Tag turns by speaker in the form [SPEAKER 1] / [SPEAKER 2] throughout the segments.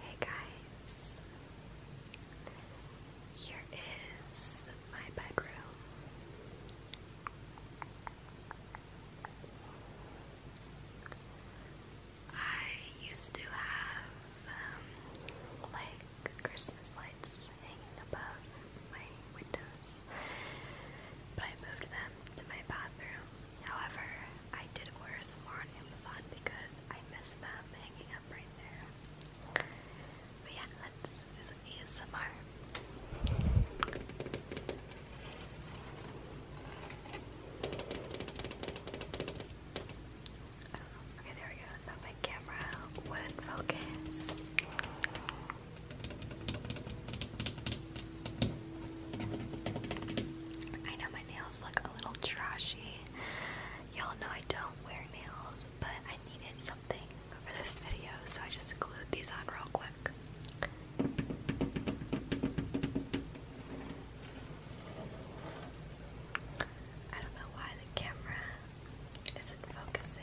[SPEAKER 1] Hey guys, here is my bedroom. I used to have um, like Christmas lights hanging above my windows, but I moved them to my bathroom However, I did wear some more on Amazon because I missed them hanging up right there. But yeah, let's do some ASMR. Okay, there we go. my camera wouldn't focus. I know nails look a little trashy. Y'all know I don't wear nails, but I needed something for this video, so I just glued these on real quick. I don't know why the camera isn't focusing.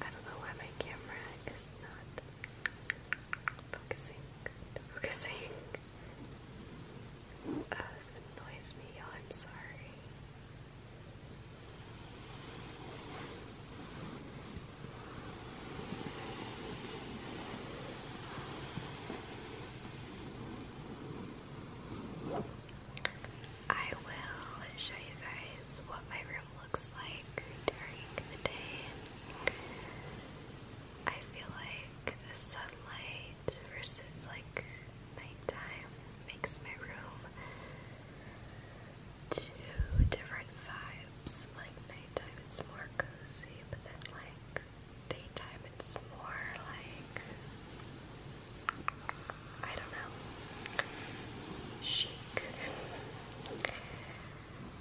[SPEAKER 1] I don't know why my camera is not Focusing, focusing. Uh, this annoys me, y'all. Oh, I'm sorry. I will show you guys what my room looks like during the day. I feel like the sunlight versus like nighttime makes my room two different vibes. Like nighttime it's more cozy, but then like daytime it's more like I don't know. Chic.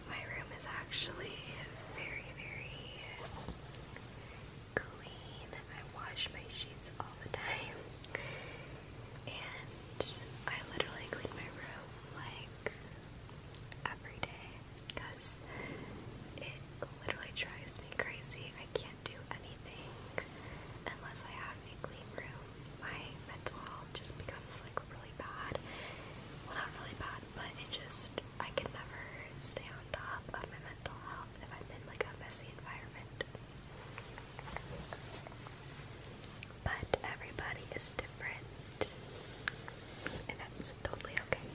[SPEAKER 1] My room is actually very, very clean. I wash my sheets all the time. And I literally clean my room like every day because it literally drives me crazy. I can't do anything unless I have a clean room. My mental health just becomes like like really bad. not really bad, but it just I can never stay on top of my mental health if I'm in like a messy environment. But everybody is different, and that's totally okay.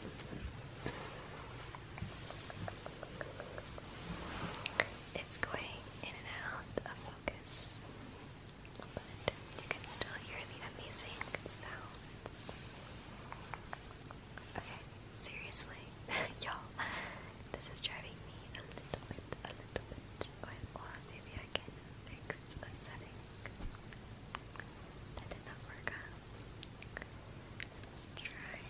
[SPEAKER 1] It's going in and out of focus but you can still hear the amazing sounds. Okay, seriously, y'all, this is driving me a little bit, a little bit. Wait, maybe I can fix a setting that did not work Let's try.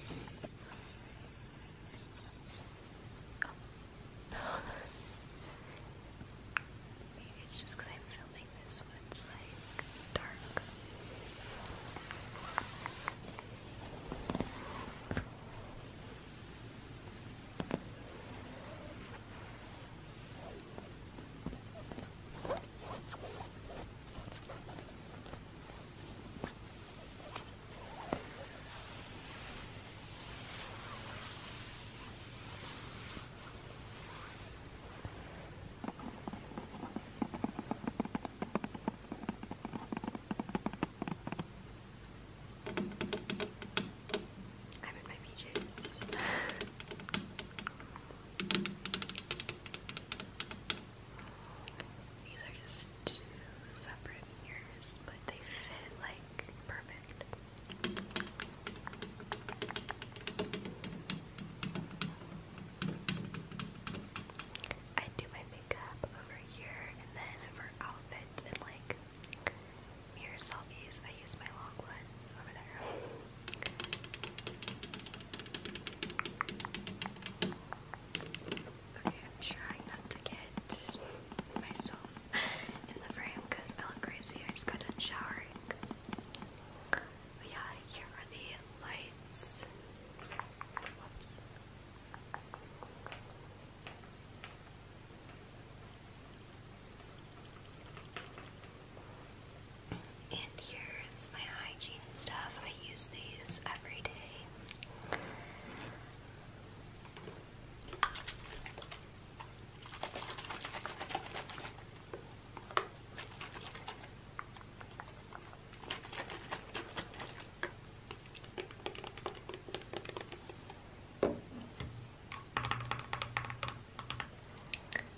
[SPEAKER 1] Maybe it's just because I'm filming this when it's like dark. I'm in my PJs. These are just two separate ears, but they fit like perfect. I do my makeup over here, and then for outfits and like mirror selfies, I use my long one over there. Okay, I'm trying not to get myself in the frame because I look crazy. I just got done showering. yeah, here are the lights. And here's my hygiene stuff. I use these every day.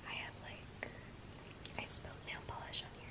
[SPEAKER 1] I have like I spilled nail polish on here.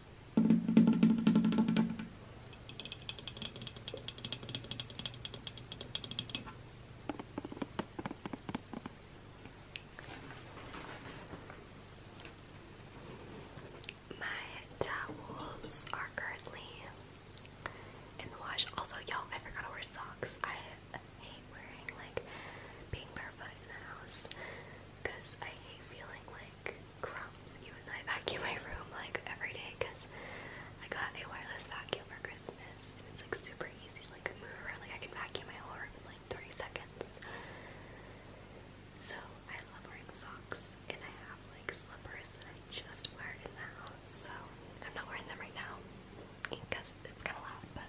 [SPEAKER 1] My towels are currently in the wash. Also, y'all, I forgot to wear socks. I hate wearing like being barefoot in the house because I hate feeling like crumbs even though I vacuum my room like every day because I got a wireless vacuum for Christmas and it's like super easy to like move around like I can vacuum my whole room in like 30 seconds so I love wearing socks and I have like slippers that I just wear in the house so I'm not wearing them right now because it's kind of loud but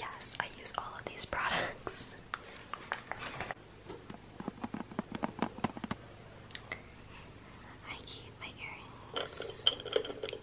[SPEAKER 1] Yes, I use all of these products. I keep my earrings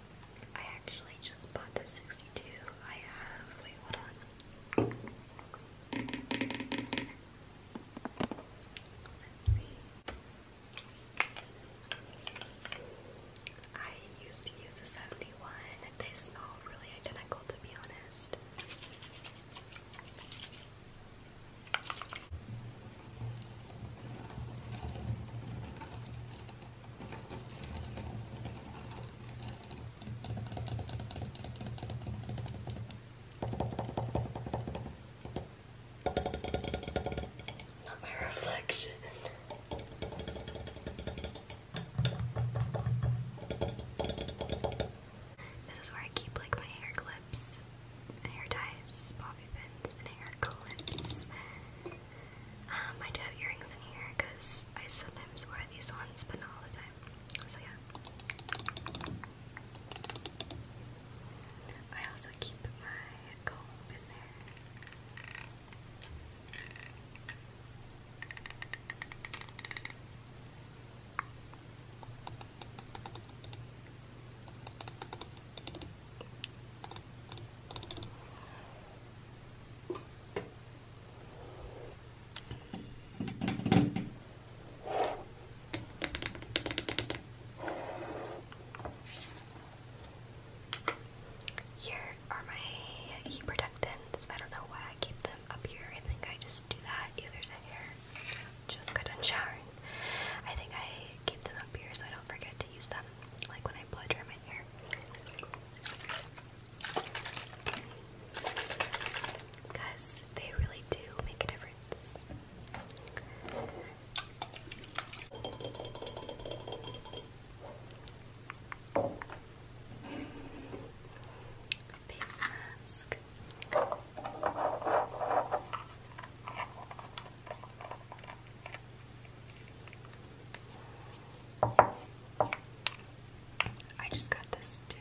[SPEAKER 1] I actually just bought the 62. I have, Let's see. I used to use the 71. They smell really identical, to be honest. Not my reflection. This is where I keep like my hair clips, hair ties, bobby pins, and hair clips. Um, I do have earrings in here because I sometimes wear these ones, but not all the time. So yeah. I also keep my comb in there. Here are my heat protectants. I don't know why I keep them up here. I think I just do that. Yeah, there's Just got done showering. I think I keep them up here so I don't forget to use them. Like when I blow dry in here. Because they really do make a difference. Face mask. I just got this too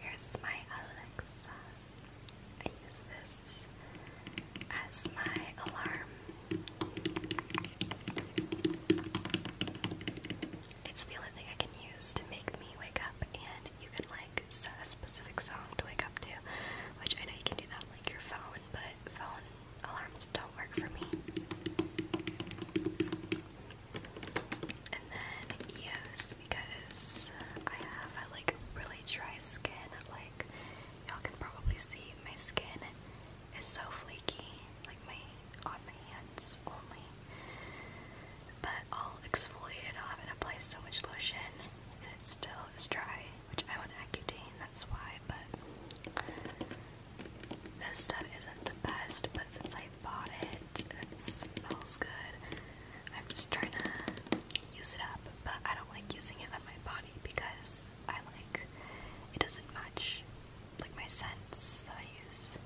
[SPEAKER 1] Here's my Alexa. I use this as my alarm it's the only thing I can use to make me wake up, and you can like set a specific song to wake up to, which I know you can do that like your phone, but phone alarms don't work for me. And then yes, because I have like really dry skin, like y'all can probably see my skin it's so flaky, like my on my hands only. But I'll exfoliate it off and apply so much lotion, and it still is dry, which I want Accutane, that's why. But this stuff isn't the best, but since I bought it, it smells good. I'm just trying to use it up, but I don't like using it on my body because I like. It doesn't match like my scents that I use.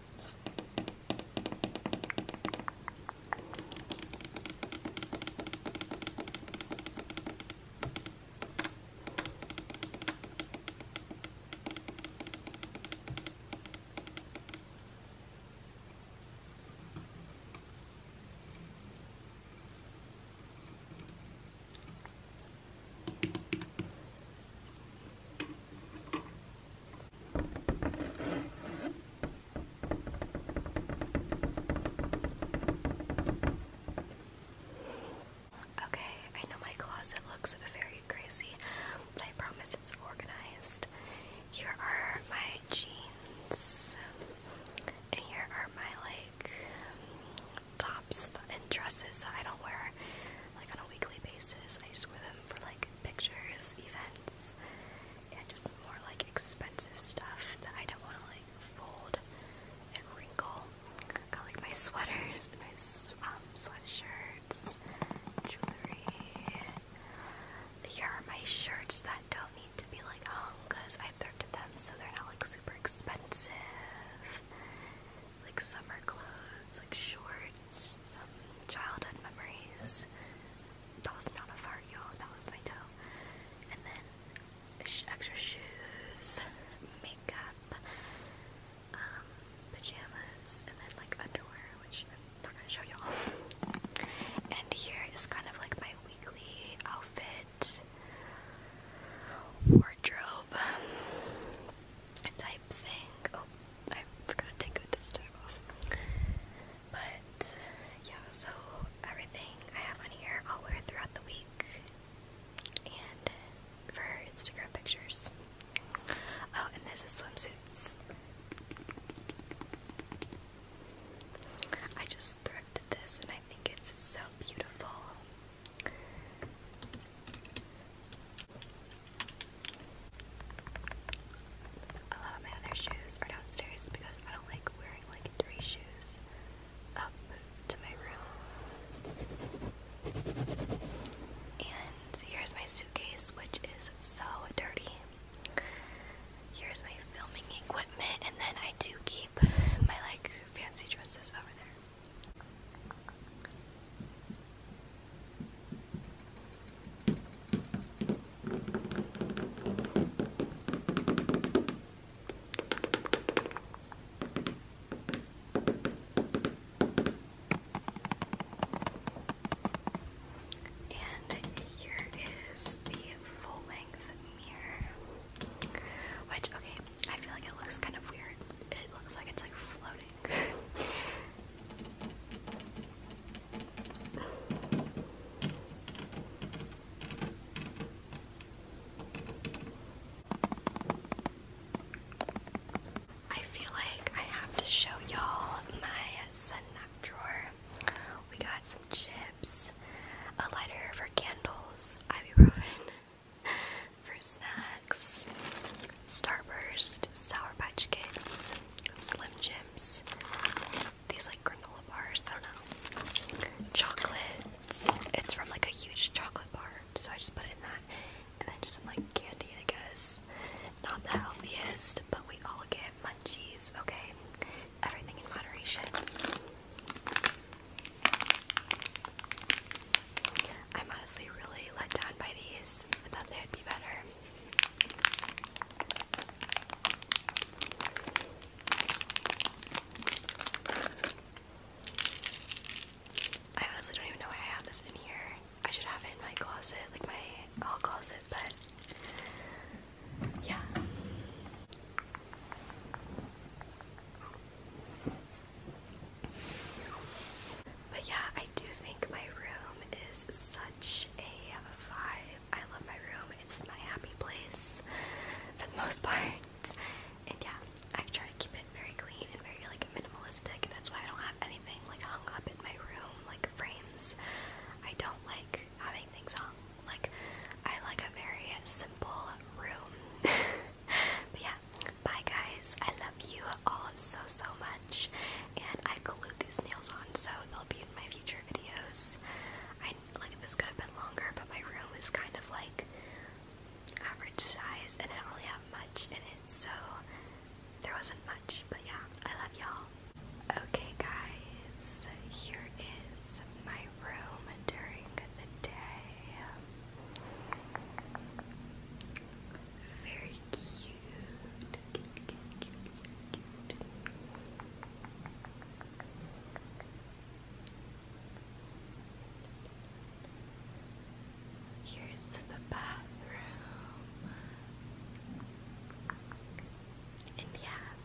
[SPEAKER 1] Okay, I know my closet looks very crazy, but I promise it's organized. Here are my jeans. And here are my like tops and dresses that I don't wear like on a weekly basis. I just wear them for like pictures, events, and just more like expensive stuff that I don't want to like fold and wrinkle. got like my sweaters my um, sweatshirts, jewelry. Here are my shirts that don't need to be like hung because I so they're not like super expensive. Like summer clothes, like shorts, some childhood memories. That was not a fart, you That was my toe. And then extra shoes, makeup, um, pajamas, and then like underwear, which I'm not gonna show y'all. And here is kind of like my weekly outfit wardrobe type thing. Oh, I forgot to take this tag off. But yeah, so everything I have on here I'll wear throughout the week and for Instagram pictures. Oh, and this is swimsuits. I just thrifted this and I I think it's so beautiful. A lot my other shoes are downstairs because I don't like wearing like three shoes up to my room. And here's my suitcase, which is so dirty. Here's my filming equipment, and then I do keep my like fancy dresses over there. And here is the full length mirror. Which, okay, I feel like it looks kind of weird. It looks like it's like floating. I feel like I have to show y'all my snack drawer. We got chips, a lighter for candles, ibuprofen for snacks, Starburst, Sour Patch Kids, Slim Jims, these like granola bars, I don't know, chocolates, it's from like a huge chocolate bar, so I just put it in that, and then just some like candy, I guess, not the healthiest, but we all get munchies, okay? Everything in moderation. I'm honestly really let down by these. I thought they'd be better. I honestly don't even know why I have this in here. I should have it in my closet, like my all closet, but yeah. But yeah, I do think my room is such a vibe. I love my room. It's my happy place for the most part. And yeah, I try to keep it very clean and very like minimalistic. that's why I don't have anything like hung up in my room, like frames. I don't like having things hung like I like a very simple room. but yeah, bye guys. I love you all so so much, and I glued these nails on so they'll be in my future videos. I like this could have been longer, but my room is kind of like average size, and I don't really have much in it, so there wasn't much. But yeah, I love y'all. Okay guys, here is use my room during the day. Very cute. Here's the bathroom. And yeah,